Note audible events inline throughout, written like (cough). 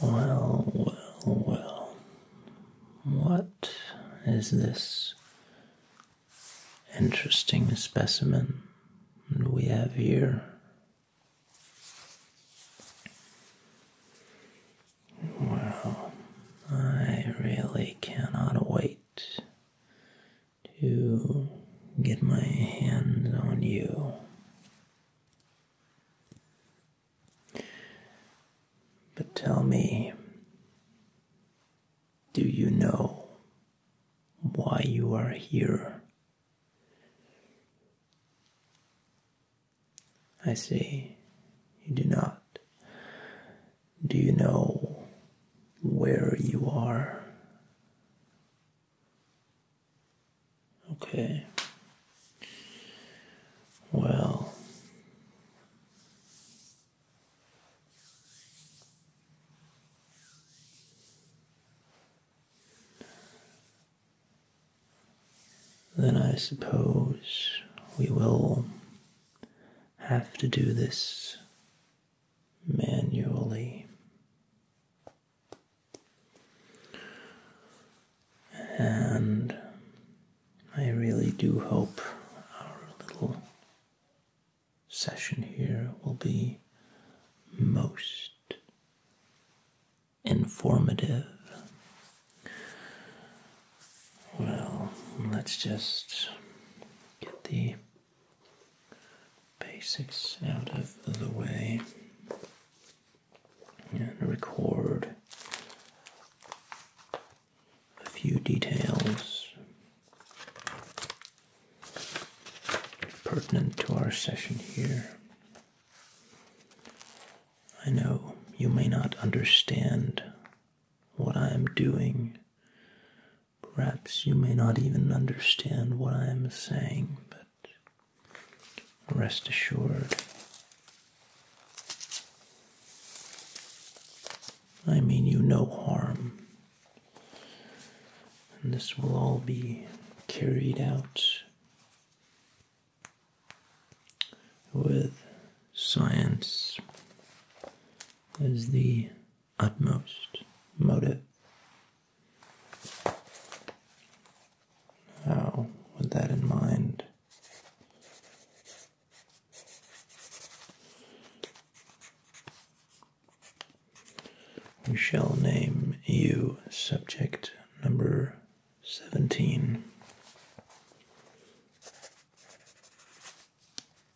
Well, well, well. What is this interesting specimen we have here? Well, I really cannot wait to get my hands on you. But tell me, do you know why you are here? I see, you do not. Do you know where you are? Okay. Well, then I suppose we will have to do this manually. And I really do hope our little session here will be most informative. Well, let's just get the basics out of the way and record a few details pertinent to our session here. I know you may not understand what I am doing Perhaps you may not even understand what I am saying, but rest assured, I mean you no harm. And this will all be carried out with science as the utmost motive. Now, with that in mind, we shall name you subject number 17.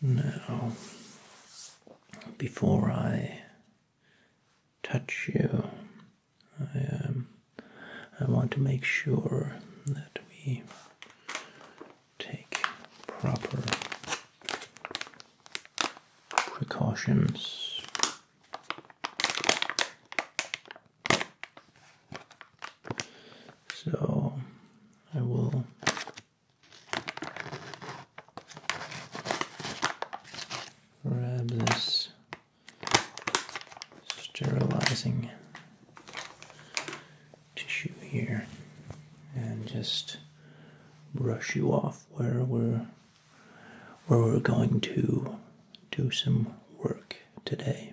Now, before I touch you, I, um, I want to make sure that we take proper precautions. So I will grab this sterilizing tissue here and just brush you off where we're where we're going to do some work today.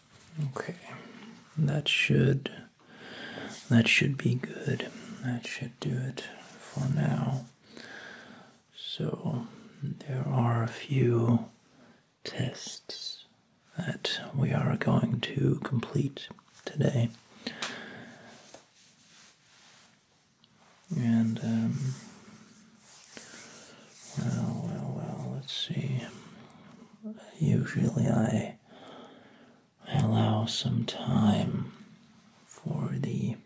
Okay, that should that should be good. That should do it for now. So there are a few tests that we are going to complete today. And um, well well well let's see usually I, allow some time for the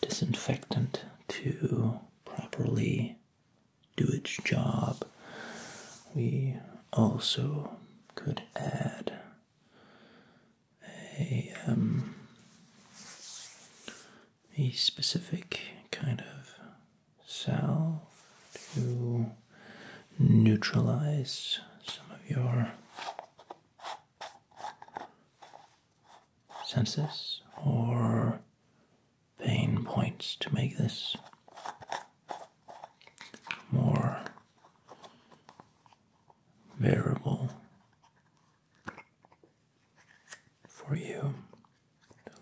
disinfectant to properly do its job. We also could add a um, a specific kind of south to neutralize some of your senses or pain points to make this more bearable for you.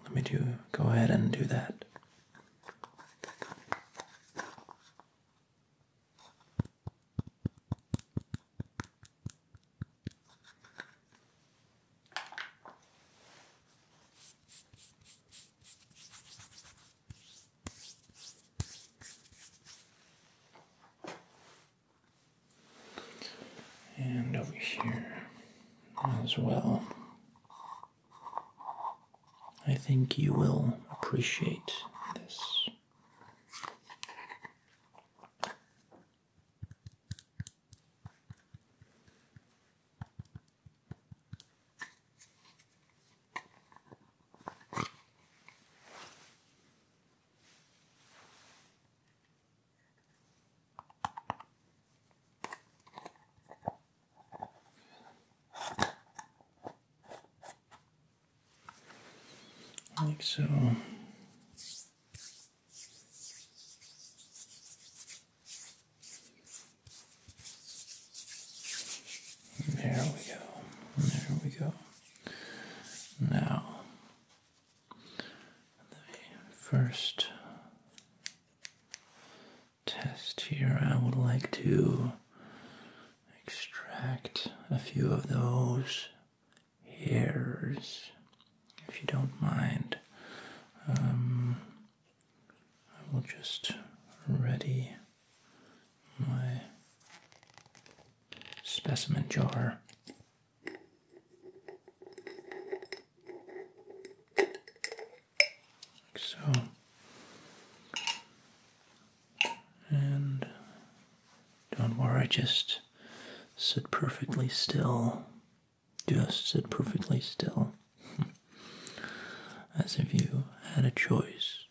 Let me limit Go ahead and do that. And over here as well. I think you will appreciate this like so. There we go. There we go. Now, first test here. I would like to extract a few of those hairs, if you don't mind. Um, I will just ready my specimen jar like so. And don't worry, just sit perfectly still. Just sit perfectly still. (laughs) As if you had a choice.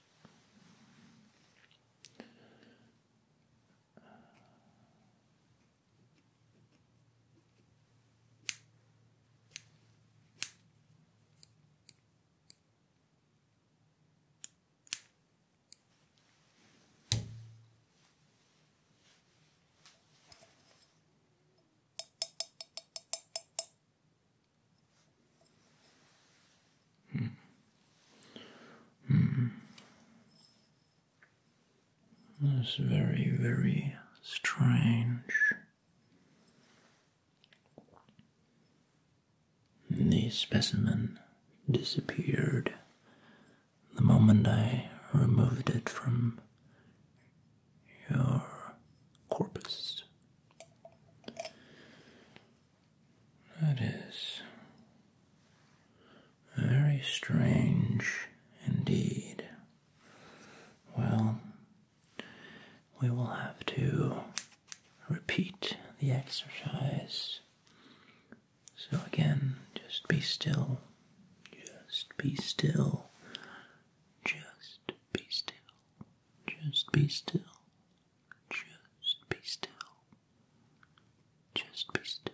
Hmm. Hmm. This is very, very strange. The specimen disappeared the moment I removed it from your corpus. That is very strange indeed. Well, we will have to repeat the exercise. So, again, just be still. Just be still. Just be still. Just be still. Just be still. Just be still.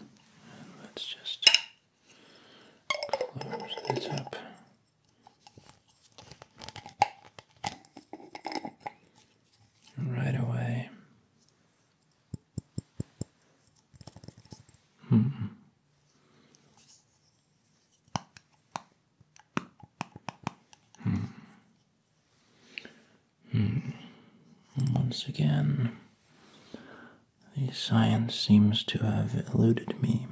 And let's just close this up. Right away. Hmm. Hmm. Hmm. Once again, the science seems to have eluded me.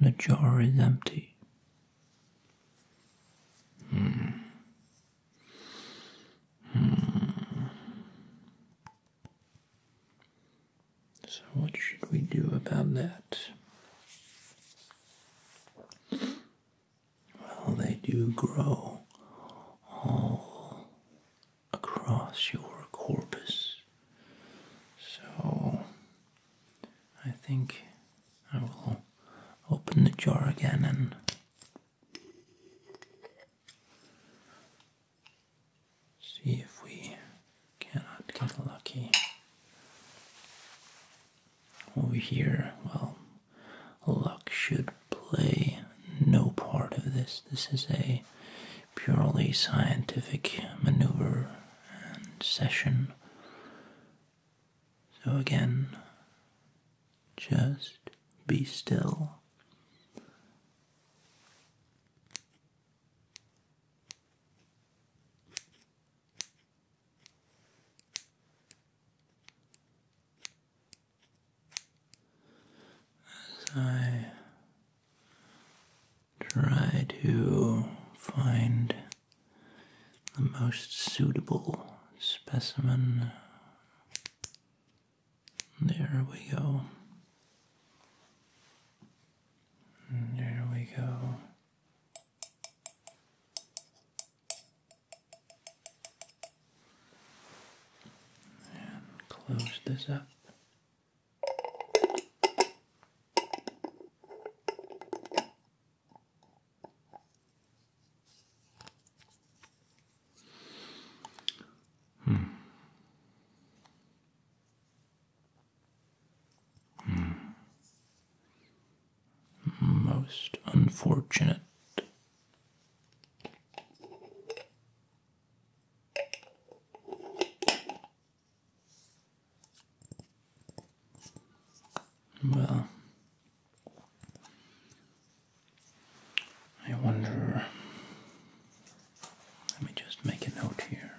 The jar is empty. Hmm. Hmm. So, what should we do about that? well, they do grow all across your corpus. So, I think I will open the jar again and. See if we cannot get lucky. Over here, well, luck should play no part of this. This is a purely scientific maneuver and session. So again, just be still. As I try to find the most suitable specimen, there we go. There we go. And close this up. Hmm. Hmm. Most unfortunate. Well, I wonder. Let me just make a note here.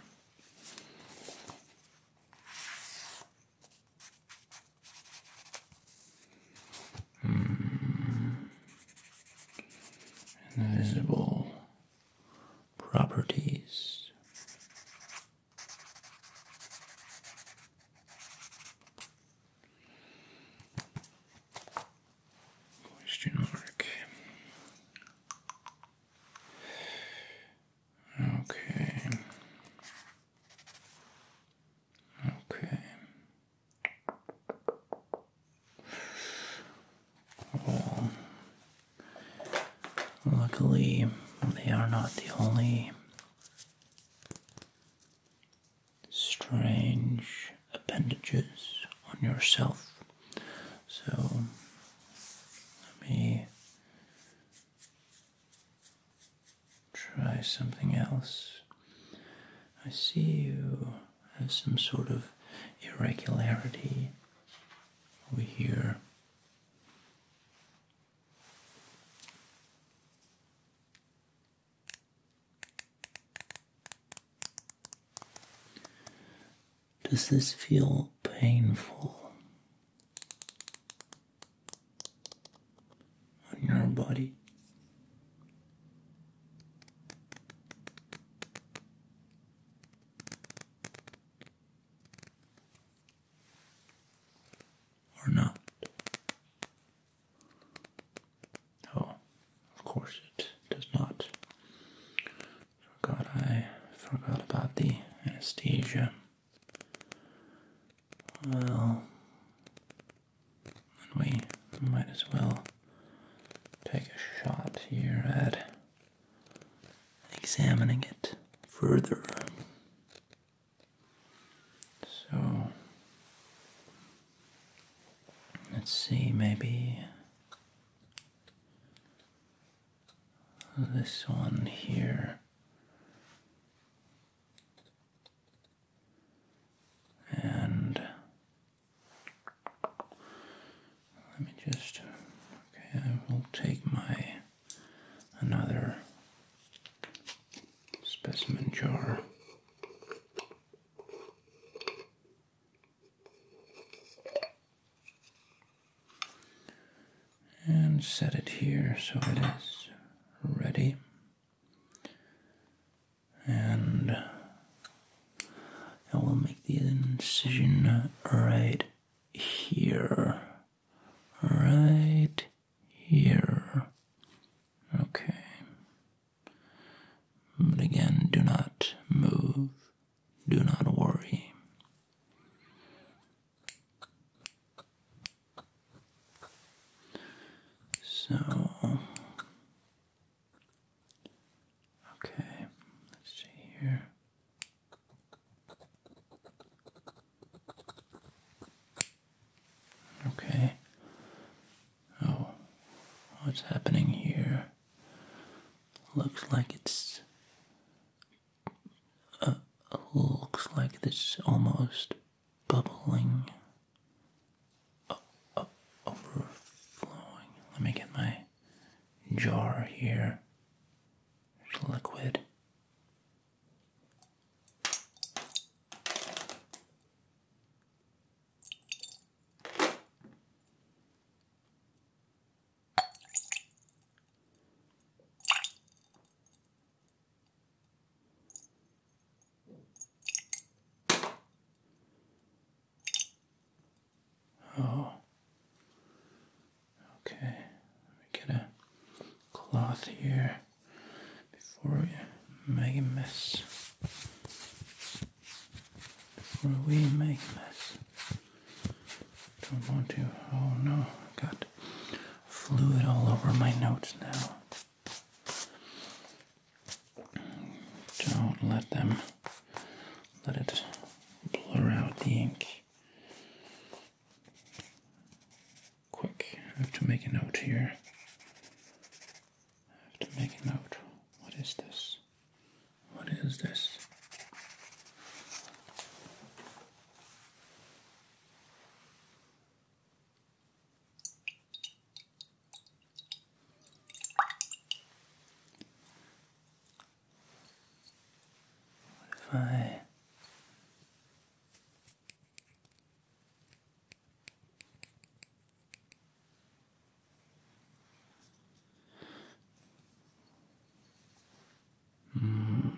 Hmm. Invisible properties. Question mark. Okay. Okay. Well, luckily, they are not the only strange appendages on yourself. So, let me try something else. I see you have some sort of irregularity over here. Does this feel painful? on your body. Or not? Oh, of course it does not. Forgot I forgot about the anesthesia. Well, we might as well take a shot here at examining it further. So, let's see, maybe this one here and let me just, okay, I will take my another specimen jar and set it here so it is ready. And I will make the incision right here. Right here. Okay. But again, do not move. Do not worry. So, okay, let's see here. Okay. Oh, what's happening here? Looks like it's. Uh, looks like this almost bubbling, overflowing. Let me get my jar here. liquid. Oh, okay. Let me get a cloth here before we make a mess. Before we make a mess. Don't want to. Oh no, I fluid all over my notes now. Don't let them let it blur out the ink. Quick, I have to make a note here. I have to make a note. What is this? What is this? What if I Mm.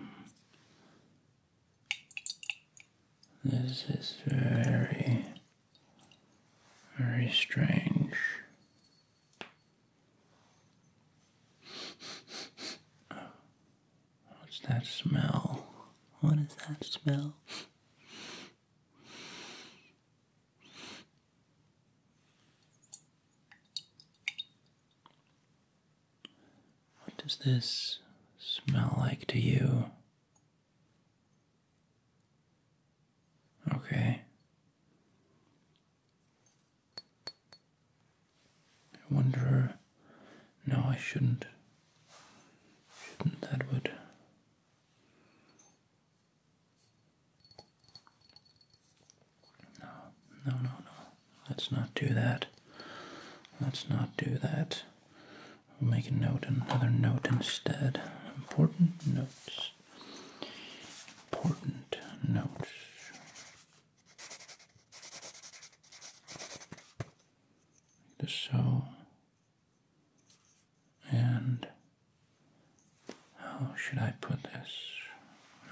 This is very, very strange. (laughs) What's that smell? What is that smell? What does this smell like to you? Okay. I wonder. No, I shouldn't. Shouldn't that would. No, no, no, no. Let's not do that. Let's not do that. We'll make a note, another note instead. Important notes. Important notes. Just so. And how should I put this?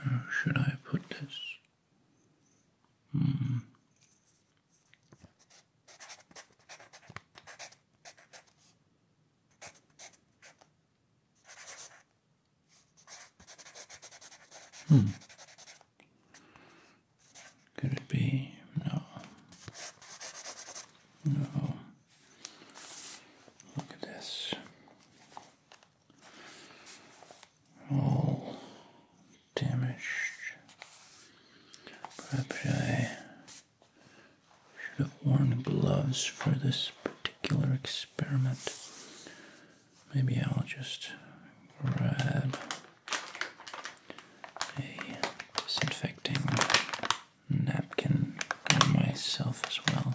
How should I put this? Hmm. Hmm. Could it be? No. No. Look at this all damaged. Perhaps I should have worn gloves for this particular experiment. Maybe I'll just grab a disinfecting napkin for myself as well.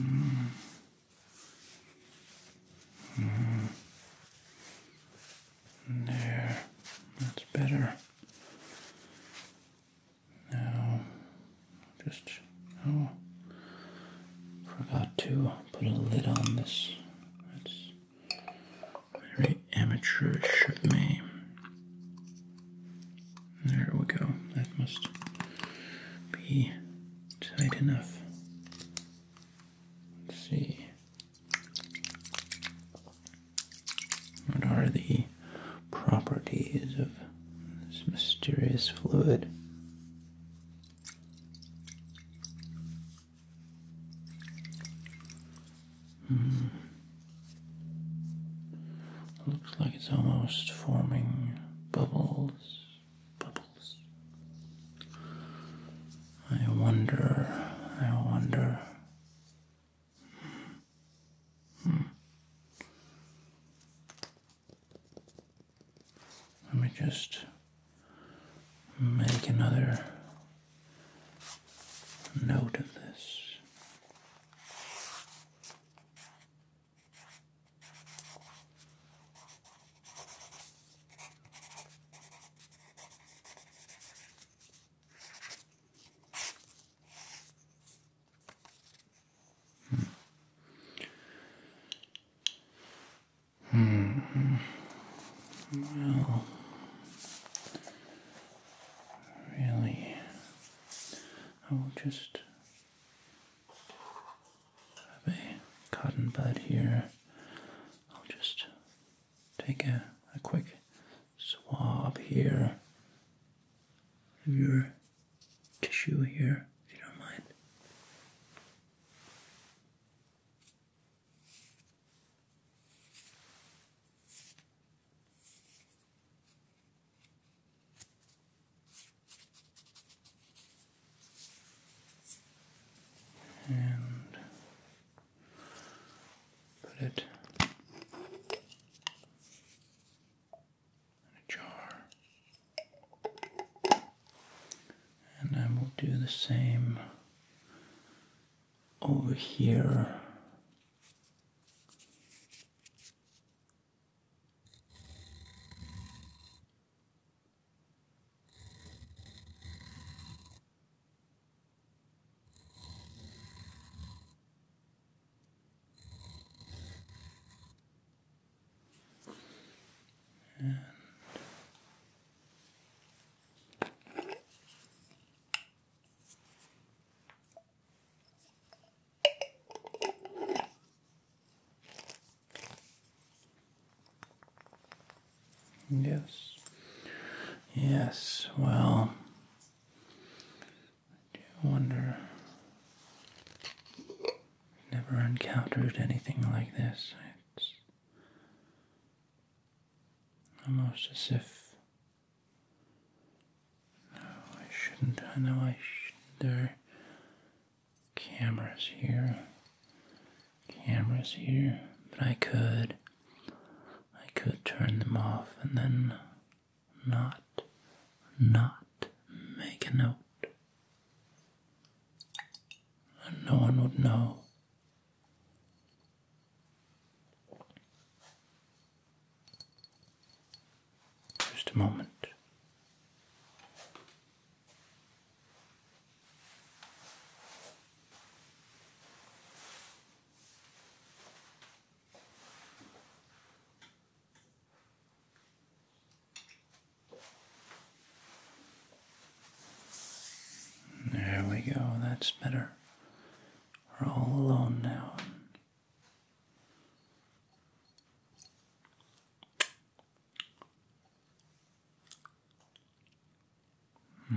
Mm. Mm. There, that's better. Now, just, oh, forgot to put a lid on this. That's very amateurish of me. There we go. That must be tight enough. Let's see. What are the properties of this mysterious fluid? Hmm. Looks like it's almost forming bubbles. Bubbles. I wonder, I wonder Hmm. Let me just make another note of this. Hmm. hmm. Well, really, I will just have a cotton bud here. I'll just take a, a quick swab here of your tissue here, if you don't mind. And put it and a jar. And I will do the same over here. Yes, yes, well, I wonder. Never encountered anything like this. It's almost as if. No, I shouldn't. I know I should. There cameras here. Cameras here. But I could. I could turn them off and then not, not make a note. And no one would know. Just a moment. There we go, that's better. We're all alone now. Hmm.